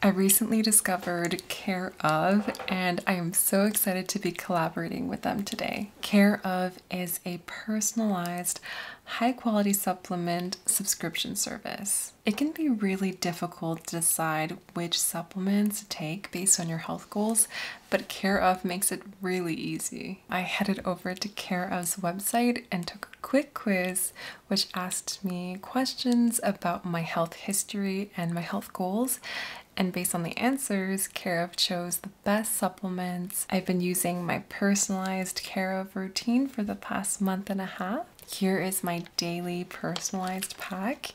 I recently discovered Care of, and I am so excited to be collaborating with them today. Care of is a personalized, high quality supplement subscription service. It can be really difficult to decide which supplements to take based on your health goals, but Care of makes it really easy. I headed over to Care of's website and took a quick quiz which asked me questions about my health history and my health goals. And based on the answers, Care/of chose the best supplements. I've been using my personalized Care/of routine for the past month and a half. Here is my daily personalized pack.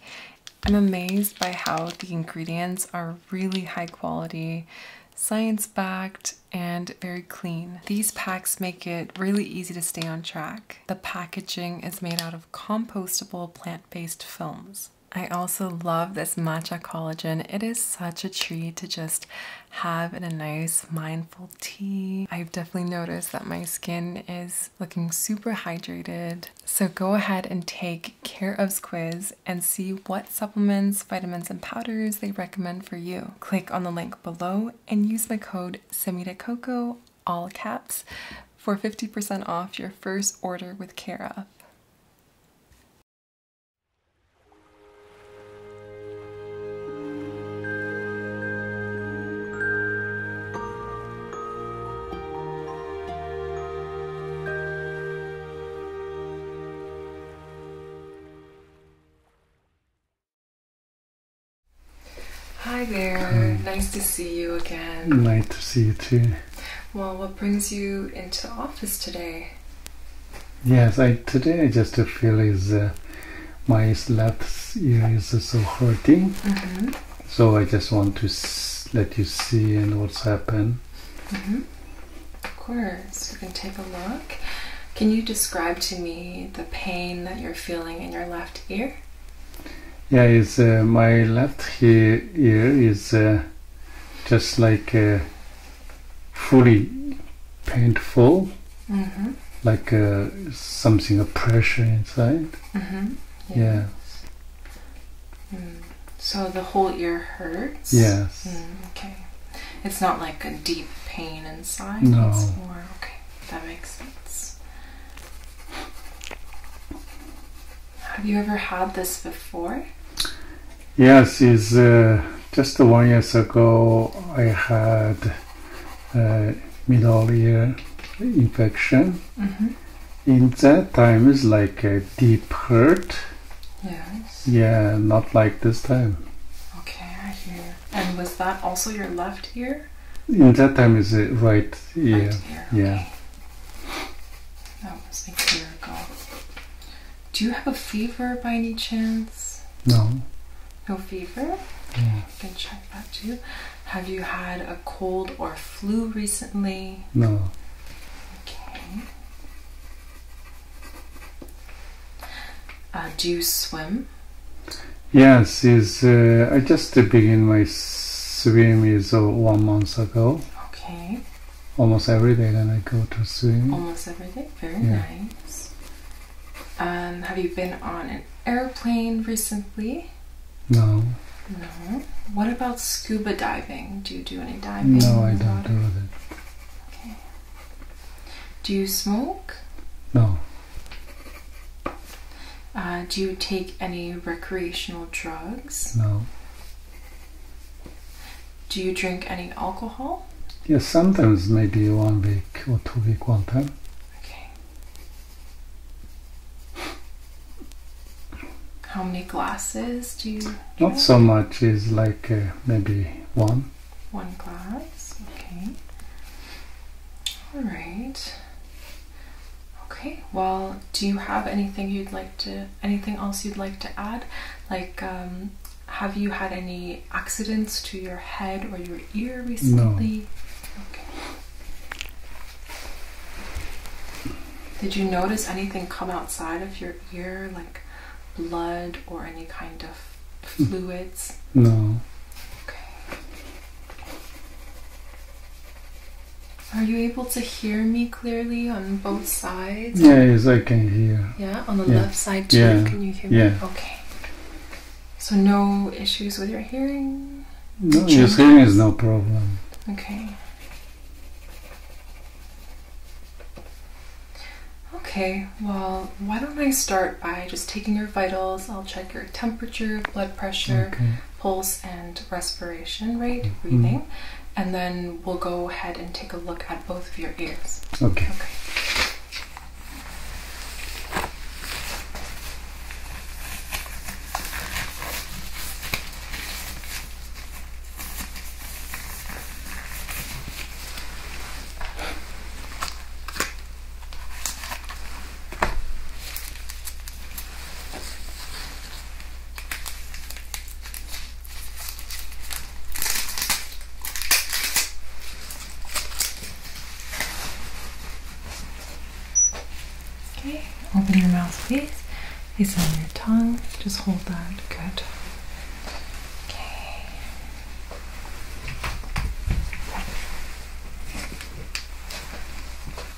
I'm amazed by how the ingredients are really high quality, science backed, and very clean. These packs make it really easy to stay on track. The packaging is made out of compostable plant-based films. I also love this matcha collagen. It is such a treat to just have in a nice mindful tea. I've definitely noticed that my skin is looking super hydrated. So go ahead and take Care of quiz and see what supplements, vitamins, and powders they recommend for you. Click on the link below and use my code SEMIDACOCO all caps, for 50% off your first order with Cara. Hi there, nice to see you again. Nice to see you too. Well, what brings you into office today? Yes, I today I just feel is uh, my left ear is so hurting, mm-hmm. so I just want to let you see and what's happened. Mm-hmm. Of course, we can take a look. Can you describe to me the pain that you're feeling in your left ear? Yeah, it's uh, my left ear is uh, just like uh, fully painful, mm-hmm. like something of pressure inside. Mm-hmm. yes. Yeah. Mm. So the whole ear hurts. Yes. Mm, okay. It's not like a deep pain inside. No. okay. That makes sense. Have you ever had this before? Yes, is uh, just one years ago I had uh, middle ear infection. Mm-hmm. In that time, is like a deep hurt. Yes. Yeah, not like this time. Okay, I hear. And was that also your left ear? In that time is it uh, right? Yeah. Yeah. That was a year ago. Do you have a fever by any chance? No. No fever? Yeah. You can check that too. Have you had a cold or flu recently? No. Okay. Uh, do you swim? Yes, is uh, I just begin my swim is uh, one month ago. Okay. Almost every day, then I go to swim. Almost every day. Very nice. Um, have you been on an airplane recently? No. No. What about scuba diving? Do you do any diving? No, I don't do it. Okay. Do you smoke? No. Uh, do you take any recreational drugs? No. Do you drink any alcohol? Yes, sometimes maybe one week or two week one time. Okay. How many glasses do you? Drink? Not so much. Is like uh, maybe one. One glass. Okay. All right. Okay, well, do you have anything you'd like to, anything else you'd like to add? Like, um, have you had any accidents to your head or your ear recently? No. Okay. Did you notice anything come outside of your ear, like blood or any kind of hmm. fluids? No. Okay. Are you able to hear me clearly on both sides? Yeah, yes, I can hear. Yeah, on the left side too. Can you hear me? Yeah. Okay. So no issues with your hearing? No, your hearing is no problem. Okay. Okay, well, why don't I start by just taking your vitals? I'll check your temperature, blood pressure, okay pulse and respiration rate, mm-hmm. breathing, and then we'll go ahead and take a look at both of your ears. Okay. Okay, open your mouth, please. It's on your tongue. Just hold that. Good. Okay.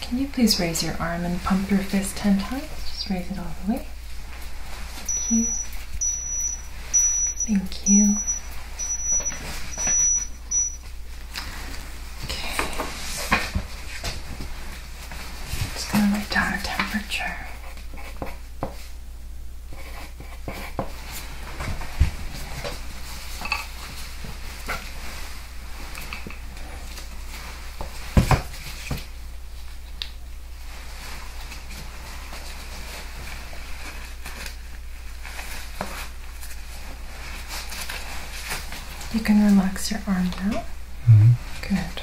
Can you please raise your arm and pump your fist 10 times? Just raise it all the way. Thank you. Thank you. Okay. Just gonna write down our temperature. You can relax your arm now. -hmm. Good.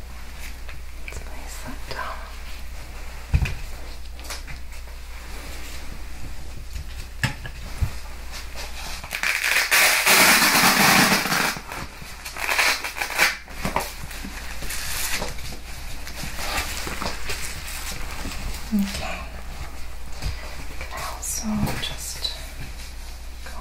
Let's place that down. Okay. Can also just go?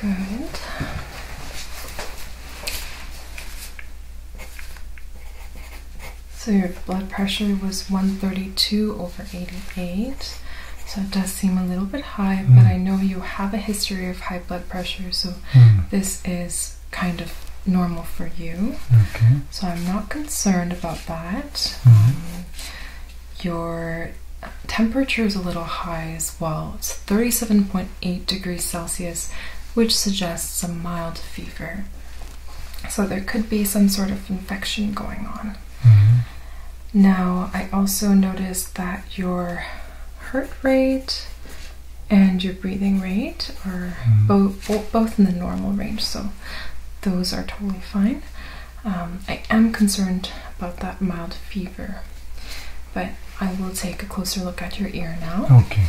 Good. So your blood pressure was 132 over 88. So it does seem a little bit high, but hmm. I know you have a history of high blood pressure, so hmm. this is kind of normal for you. So I'm not concerned about that. Mm-hmm. Um, your temperature is a little high as well. It's 37.8 degrees Celsius, which suggests a mild fever. So there could be some sort of infection going on. Mm-hmm. Now, I also noticed that your heart rate and your breathing rate are hmm. both in the normal range, so those are totally fine. Um, I am concerned about that mild fever, but I will take a closer look at your ear now. Okay.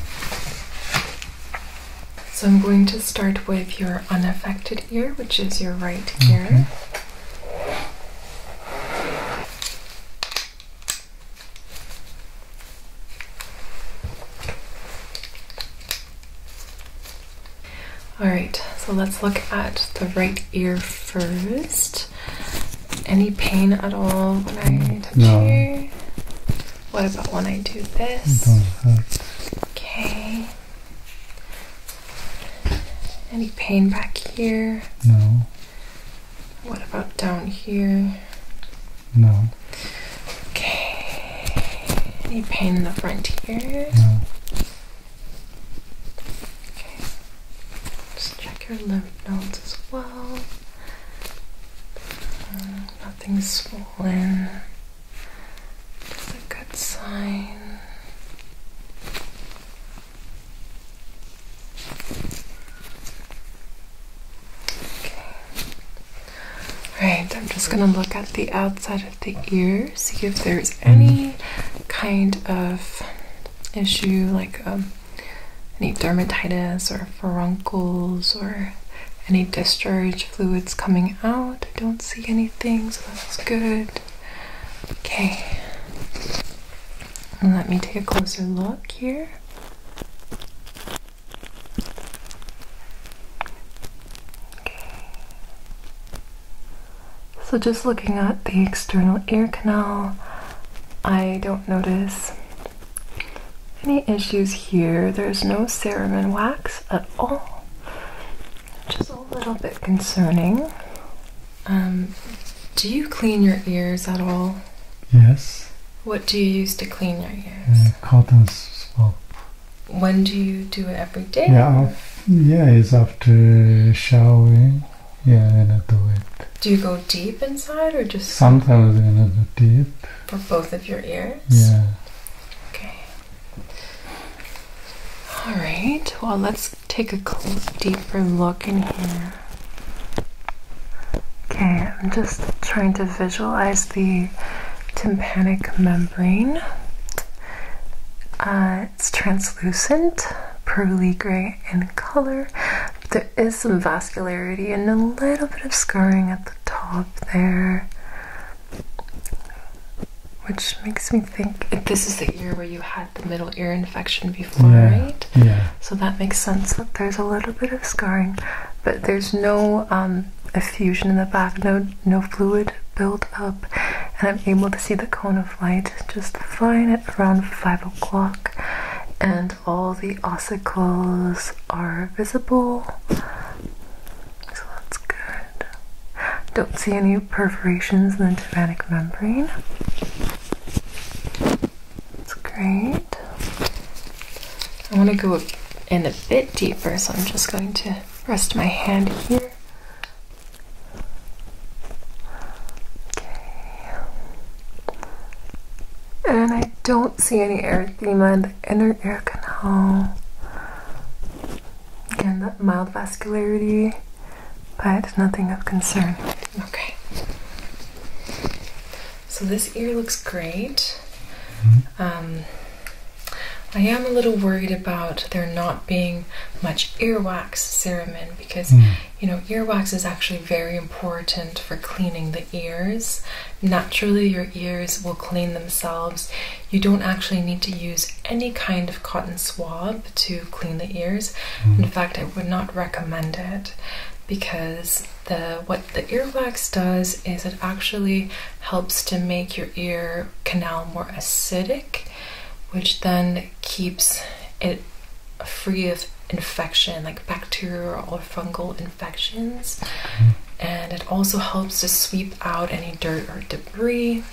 So I'm going to start with your unaffected ear, which is your right ear. All right, so let's look at the right ear first. Any pain at all when I mm, touch no. What about when I do this? Okay. Any pain back here? No. What about down here? No. Okay. Any pain in the front here? No. Okay. Just check your lymph nodes as well. Uh, nothing's swollen. That's a good sign. Okay. Alright, I'm just gonna look at the outside of the ear, see if there's any kind of issue like um, any dermatitis or furuncles or any discharge fluids coming out. I don't see anything, so that's good. Okay. let me take a closer look here. So just looking at the external ear canal, I don't notice any issues here. There's no cerumen wax at all, which is a little bit concerning. Um, do you clean your ears at all? Yes. What do you use to clean your ears? Uh, cotton swab. When do you do it every day? Yeah, yeah, it's after showering. Yeah, then I do it. Do you go deep inside or just? Sometimes I do deep. For both of your ears. Yeah. Okay. All right. Well, let's take a close, deeper look in here. Okay. I'm just trying to visualize the tympanic membrane. Uh, it's translucent, pearly gray in color. There is some vascularity and a little bit of scarring at the top there, which makes me think this is the ear where you had the middle ear infection before, right? Yeah. So that makes sense that there's a little bit of scarring, but there's no um, effusion in the back, no, no fluid build up, and I'm able to see the cone of light just fine at around 5 o'clock, and all the ossicles are visible. So that's good. Don't see any perforations in the tympanic membrane. That's great. I want to go in a bit deeper, so I'm just going to rest my hand here. Okay. And I don't see any erythema in the inner ear canal. Again, that mild vascularity, but nothing of concern. Okay. So this ear looks great. Mm-hmm. Um, I am a little worried about there not being much earwax cerumen because hmm. you know earwax is actually very important for cleaning the ears. Naturally, your ears will clean themselves. You don't actually need to use any kind of cotton swab to clean the ears. Hmm. In fact, I would not recommend it because the what the earwax does is it actually helps to make your ear canal more acidic, which then keeps it free of infection, like bacterial or fungal infections. And it also helps to sweep out any dirt or debris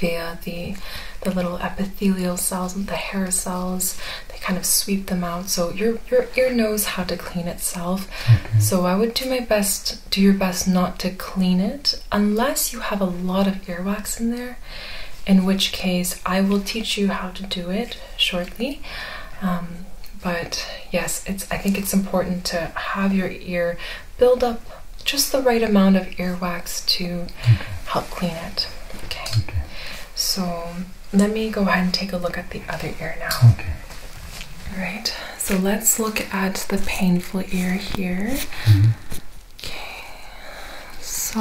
via the the little epithelial cells, the hair cells. They kind of sweep them out. So your your ear knows how to clean itself. So I would do my best do your best not to clean it unless you have a lot of earwax in there, in which case I will teach you how to do it shortly. Um, but yes, it's I think it's important to have your ear build up just the right amount of earwax to help clean it. Okay. okay. So let me go ahead and take a look at the other ear now. Okay. All right, so let's look at the painful ear here. Mm-hmm. Okay, so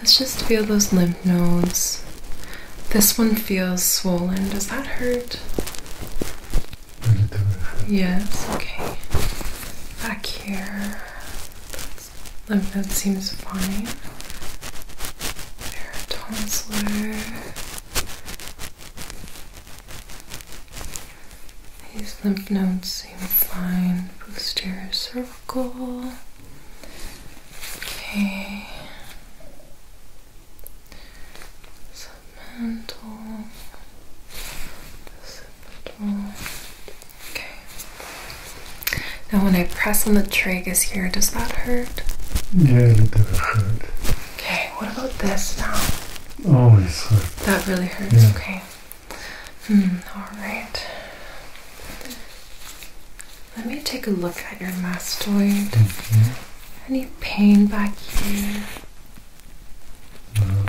let's just feel those lymph nodes. This one feels swollen. Does that hurt? Yes, okay. Back here. Lymph node seems fine. There, These lymph nodes seem fine. Posterior cervical. Okay. Submental. Occipital. Okay. Now, when I press on the tragus here, does that hurt? Yeah, it does bit hurt. Okay. What about this now? Always oh, hurt. That really hurts. Okay. Hmm. All right. Let me take a look at your mastoid. Okay. Mm-hmm. Any pain back here? No.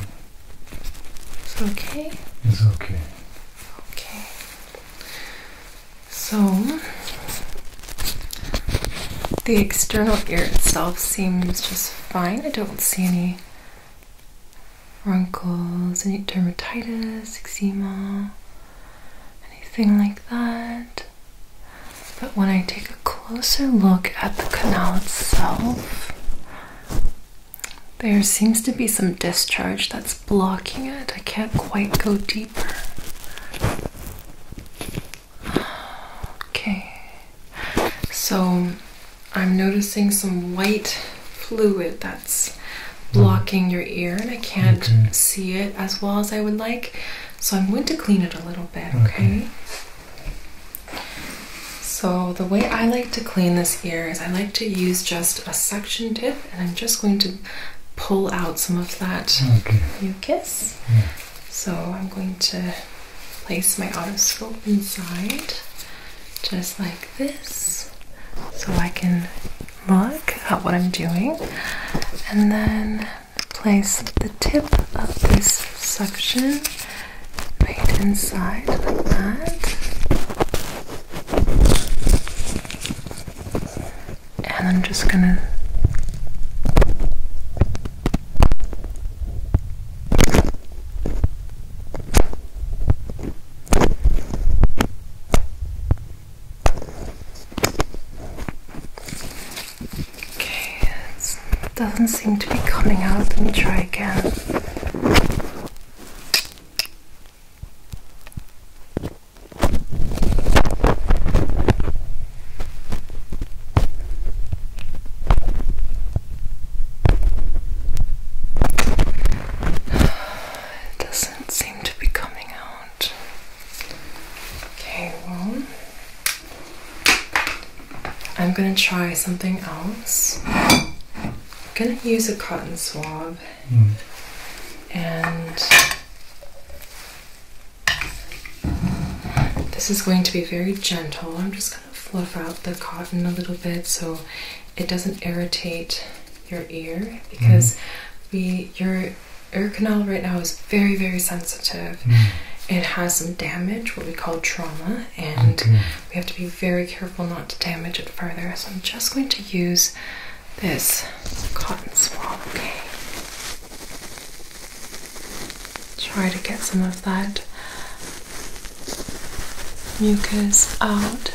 It's okay. It's okay. Okay. So, the external ear itself seems just fine. I don't see any wrinkles, any dermatitis, eczema, anything like that. But when I take a closer look at the canal itself, there seems to be some discharge that's blocking it. I can't quite go deeper. Okay, so I'm noticing some white fluid that's blocking your ear, and I can't see it as well as I would like. So I'm going to clean it a little bit, okay? So the way I like to clean this ear is I like to use just a suction tip and I'm just going to pull out some of that okay. mucus. So I'm going to place my otoscope inside, just like this, so I can look at what I'm doing, and then place the tip of this suction right inside, like that and I'm just gonna Okay, it doesn't seem to be coming out. Let me try again. It doesn't seem to be coming out. Okay, well, I'm gonna try something else. I'm gonna use a cotton swab and this is going to be very gentle. I'm just going to fluff out the cotton a little bit so it doesn't irritate your ear because mm-hmm. we your ear canal right now is very very sensitive. Mm. It has some damage, what we call trauma, and we have to be very careful not to damage it further. So I'm just going to use this cotton swab, okay? Try to get some of that mucus out.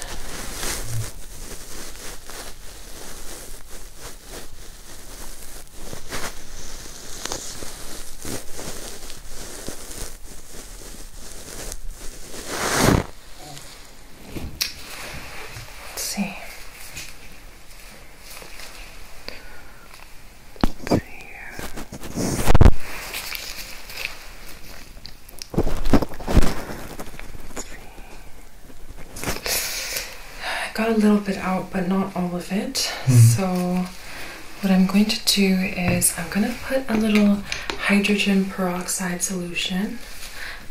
Let's see. Let's I got a little bit out, but not all of it. Hmm. So, what I'm going to do is I'm going to put a little hydrogen peroxide solution.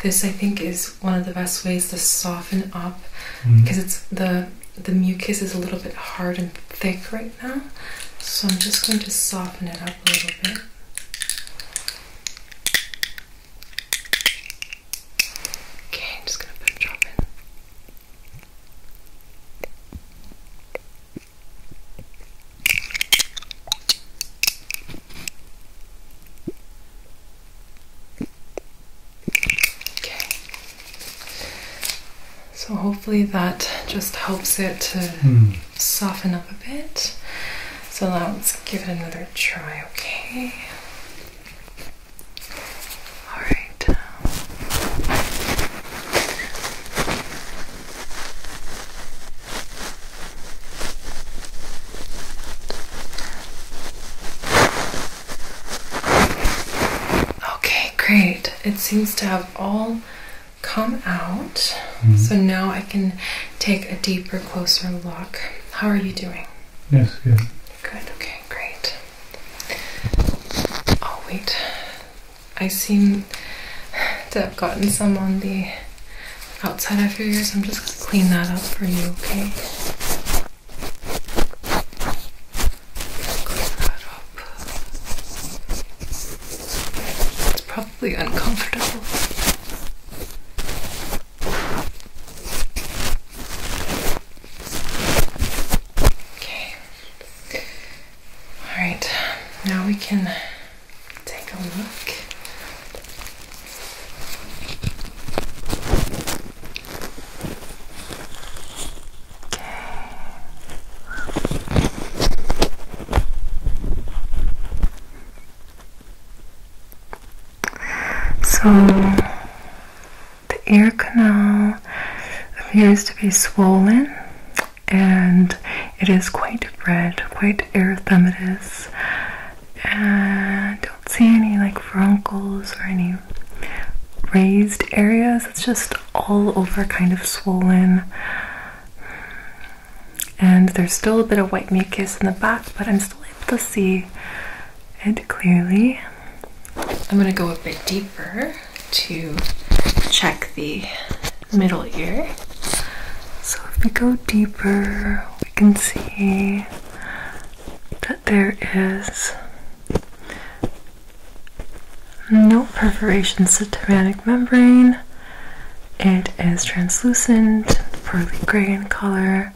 This I think is one of the best ways to soften up mm. because it's the the mucus is a little bit hard and thick right now. So I'm just going to soften it up a little bit. Okay, I'm just going to put a drop so hopefully that just helps it to hmm. soften up a bit. So let's give it another try, okay? Alright. Okay, great. It seems to have all come out. Mm-hmm. So now I can take a deeper, closer look. How are you doing? Yes, good. Good, okay, great. Oh, wait. I seem to have gotten some on the outside of your ears. I'm just going to clean that up for you, okay? Clean that up. It's probably uncomfortable. Okay. Alright, now we can take a look so the ear canal appears to be swollen and it is quite red, quite erythematous, uh, don't see any like frontals or any raised areas. It's just all over kind of swollen. And there's still a bit of white mucus in the back, but I'm still able to see it clearly. I'm gonna go a bit deeper to check the middle ear. So if we go deeper, I can see that there is no perforations to tympanic membrane. It is translucent, pearly gray in color.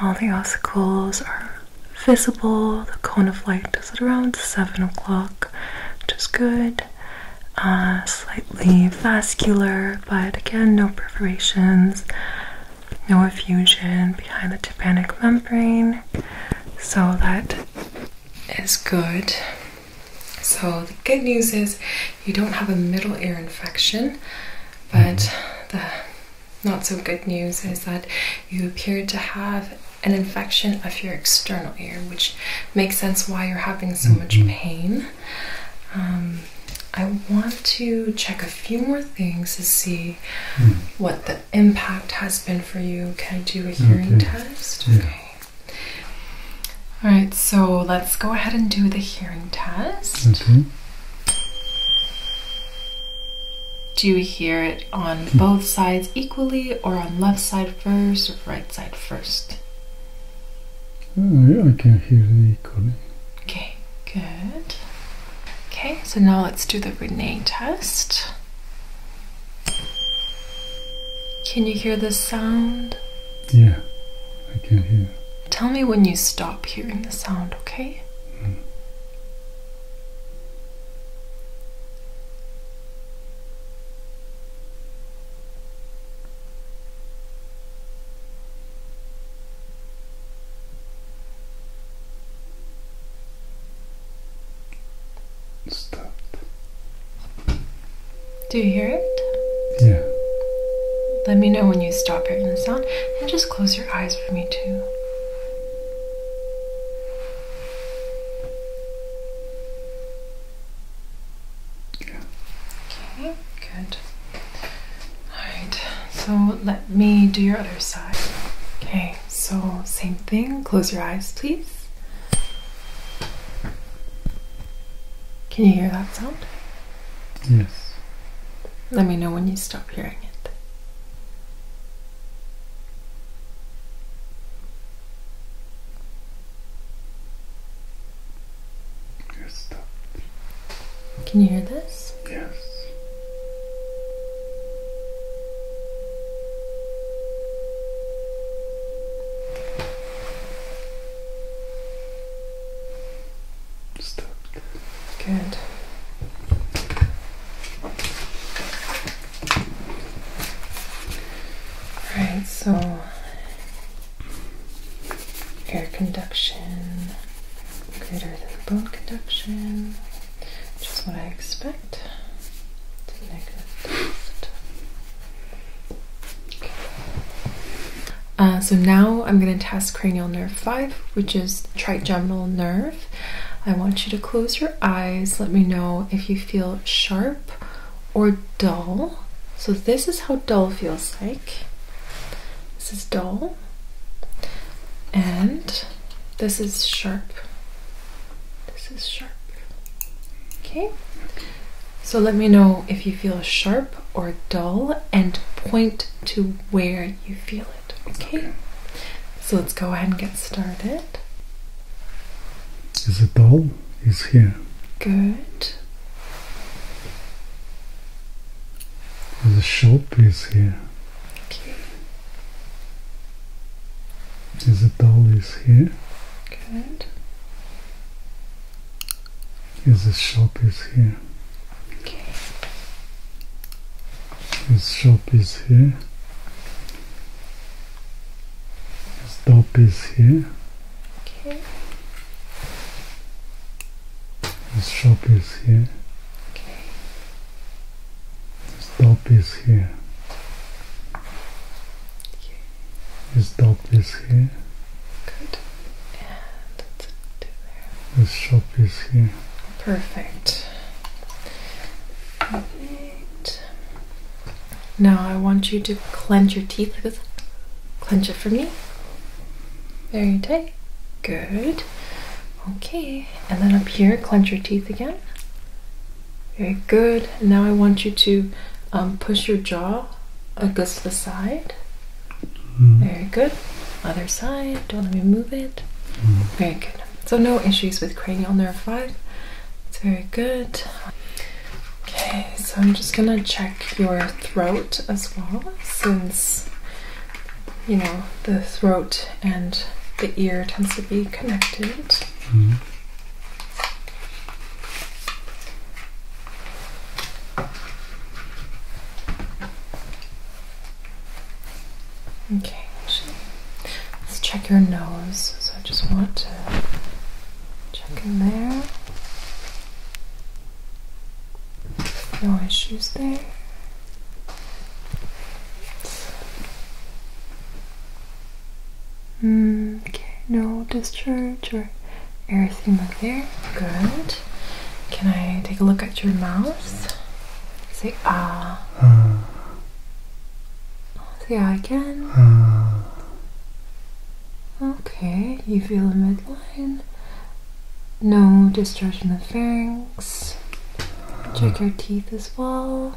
All the ossicles are visible. The cone of light is at around 7 o'clock, which good. Uh, slightly vascular, but again, no perforations no effusion behind the tympanic membrane, so that is good. So, the good news is you don't have a middle ear infection, but the not so good news is that you appear to have an infection of your external ear, which makes sense why you're having so much mm-hmm. pain. Um, I want to check a few more things to see hmm. what the impact has been for you. Can I do a hearing test? Okay. All right, so let's go ahead and do the hearing test. Okay. Do you hear it on hmm. both sides equally or on left side first or right side first? I, oh, I can hear the Okay, good. Okay, so now let's do the Renee test. Can you hear the sound? Yeah, I can not hear. Tell me when you stop hearing the sound, okay? Stopped. Do you hear it? Yeah. Let me know when you stop hearing the sound and just close your eyes for me too. Yeah. Okay, good. Alright, so let me do your other side. Okay, so same thing. Close your eyes, please. Can you hear that sound? Yes. Let me know when you stop hearing it. Can you hear this? Yes. Stopped. Good. Right, so air conduction greater than bone conduction, which is what I expect. Uh, so now I'm going to test cranial nerve 5, which is trigeminal nerve. I want you to close your eyes. Let me know if you feel sharp or dull. So, this is how dull feels like. This is dull and this is sharp. This is sharp. Okay. So let me know if you feel sharp or dull and point to where you feel it. Okay. So let's go ahead and get started. Is it dull? Is here. Good. The shop is here. Okay. There's a dollies here. Good. There's a short piece here. Okay. There's shop is here. There's doll piece here. Okay. This shop is here. Okay. This top is here. Okay. This top is here. Good. And that's it there. This shop is here. Perfect. Perfect. Now I want you to clench your teeth with clench it for me. Very tight good. Okay, and then up here, clench your teeth again. Very good. now I want you to um, push your jaw against the side. Mm-hmm. Very good. Other side. Don't let me move it. Mm-hmm. Very good. So no issues with cranial nerve 5. It's very good. Okay, so I'm just gonna check your throat as well since you know, the throat and the ear tends to be connected. Mm -hmm. let's check your nose. So I just want to check in there. No issues there. Mm, okay, no discharge or erythema there. Good. Can I take a look at your mouth? Say ah. Uh. Say ah, I can. Ah. Okay, you feel the midline. No discharge of pharynx. Check your teeth as well.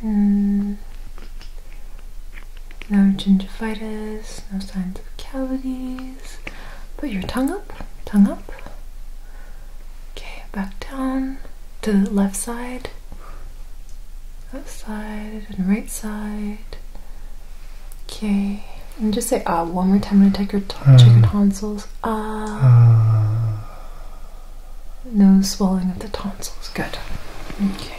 Hmm. No gingivitis, no signs of cavities. Put your tongue up, tongue up. Okay, back down to the left side, left side, and right side. Okay. And just say ah one more time I am gonna um, check your tonsils. Ah. no swelling of the tonsils. Good. Okay.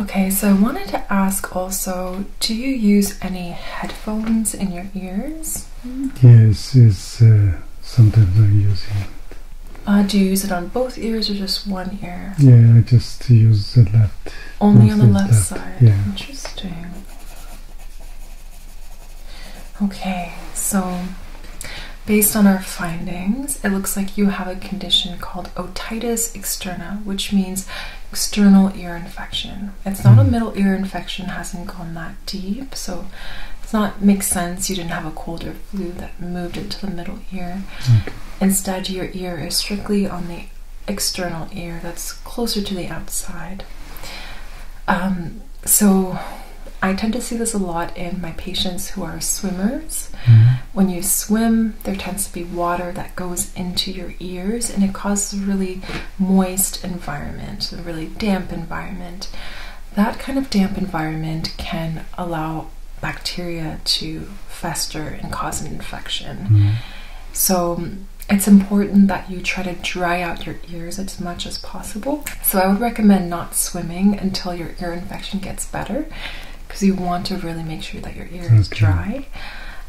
Okay, so I wanted to ask also, do you use any headphones in your ears? Yes, it's sometimes I'm it. Uh, do you use it on both ears or just one ear? Yeah, I just use the left only on the left side. Interesting. Okay, so based on our findings, it looks like you have a condition called otitis externa, which means external ear infection. It's not a mm. middle ear infection, hasn't gone that deep, so it's not makes sense you didn't have a cold or flu that moved into the middle ear. Instead, your ear is strictly on the external ear that's closer to the outside. Um, so I tend to see this a lot in my patients who are swimmers. Mm-hmm. When you swim, there tends to be water that goes into your ears and it causes a really moist environment, a really damp environment. That kind of damp environment can allow bacteria to fester and cause an infection. Mm-hmm. So it's important that you try to dry out your ears as much as possible. So I would recommend not swimming until your ear infection gets better because you want to really make sure that your ear okay. is dry.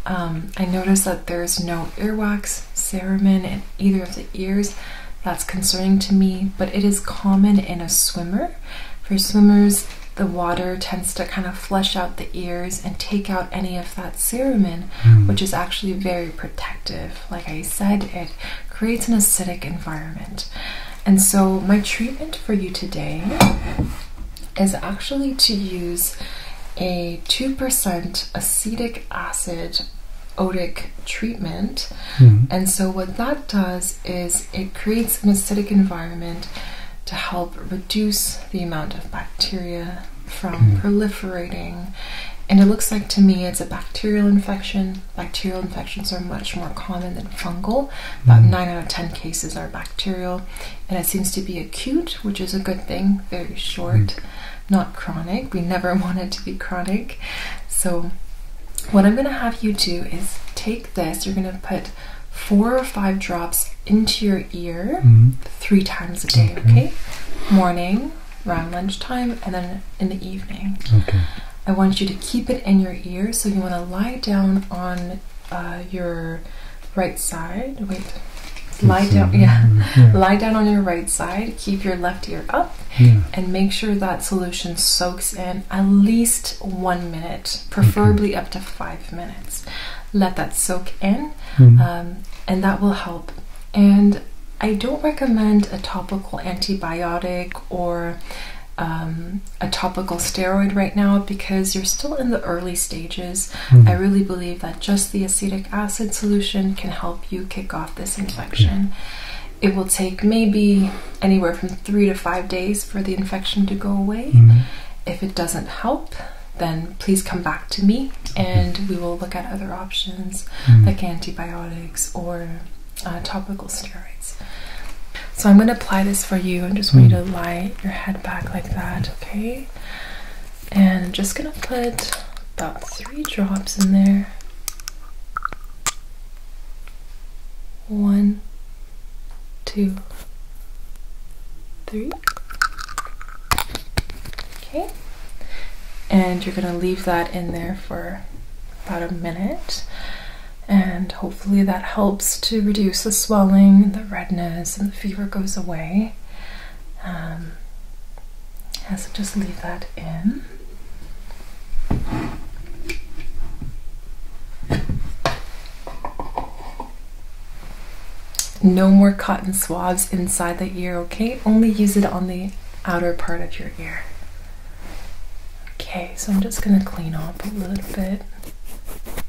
Um, I noticed that there's no earwax, cerumen in either of the ears. That's concerning to me, but it is common in a swimmer. For swimmers, the water tends to kind of flush out the ears and take out any of that cerumen, hmm. which is actually very protective. Like I said, it creates an acidic environment. And so, my treatment for you today is actually to use a 2% acetic acid otic treatment. Hmm. And so, what that does is it creates an acidic environment to help reduce the amount of bacteria from mm-hmm. proliferating. And it looks like to me it's a bacterial infection. Bacterial infections are much more common than fungal. About mm-hmm. 9 out of 10 cases are bacterial. And it seems to be acute, which is a good thing, very short, mm-hmm. not chronic. We never want it to be chronic. So, what I'm going to have you do is take this, you're going to put four or five drops into your ear mm-hmm. three times a day, okay. Morning, around lunchtime, and then in the evening. Okay. I want you to keep it in your ear, so you want to lie down on uh, your right side. Wait. Lie down, yeah. Lie down on your right side, keep your left ear up, and make sure that solution soaks in at least one minute, preferably up to five minutes. Let that soak in, hmm. um, and that will help. And I don't recommend a topical antibiotic or um, a topical steroid right now because you're still in the early stages. Hmm. I really believe that just the acetic acid solution can help you kick off this infection. It will take maybe anywhere from three to five days for the infection to go away. Hmm. If it doesn't help, then please come back to me and we will look at other options mm-hmm. like antibiotics or uh, topical steroids. So I'm going to apply this for you. I just want you to mm-hmm. lie your head back like that, okay? And I'm just going to put about three drops in there. One, two, three. Okay. And you're going to leave that in there for about a minute. And hopefully that helps to reduce the swelling, the redness, and the fever goes away. Um, so just leave that in. No more cotton swabs inside the ear, okay? Only use it on the outer part of your ear. Okay, so I'm just gonna clean up a little bit.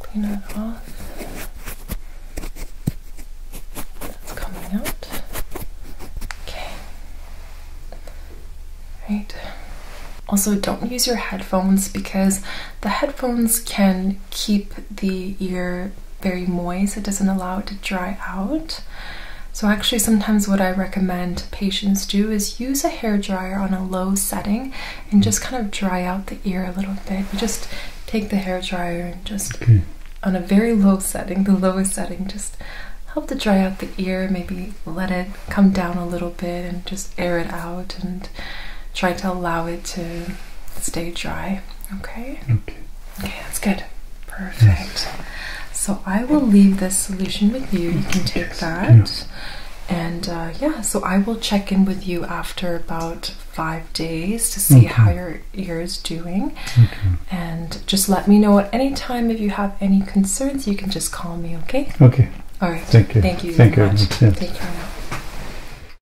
Clean it off. That's coming out. Okay. Right. Also, don't use your headphones because the headphones can keep the ear very moist, it doesn't allow it to dry out. So actually sometimes what I recommend patients do is use a hair dryer on a low setting and mm. just kind of dry out the ear a little bit. just take the hair dryer and just mm. on a very low setting, the lowest setting, just help to dry out the ear, maybe let it come down a little bit and just air it out and try to allow it to stay dry. Okay. Okay. Okay, that's good. Perfect. So I will leave this solution with you. You can take that. And uh, yeah, so I will check in with you after about five days to see how your ear is doing. Okay. And just let me know at any time if you have any concerns. You can just call me, okay? Okay. All right. Thank you. Thank you. Thank you. Much. Much.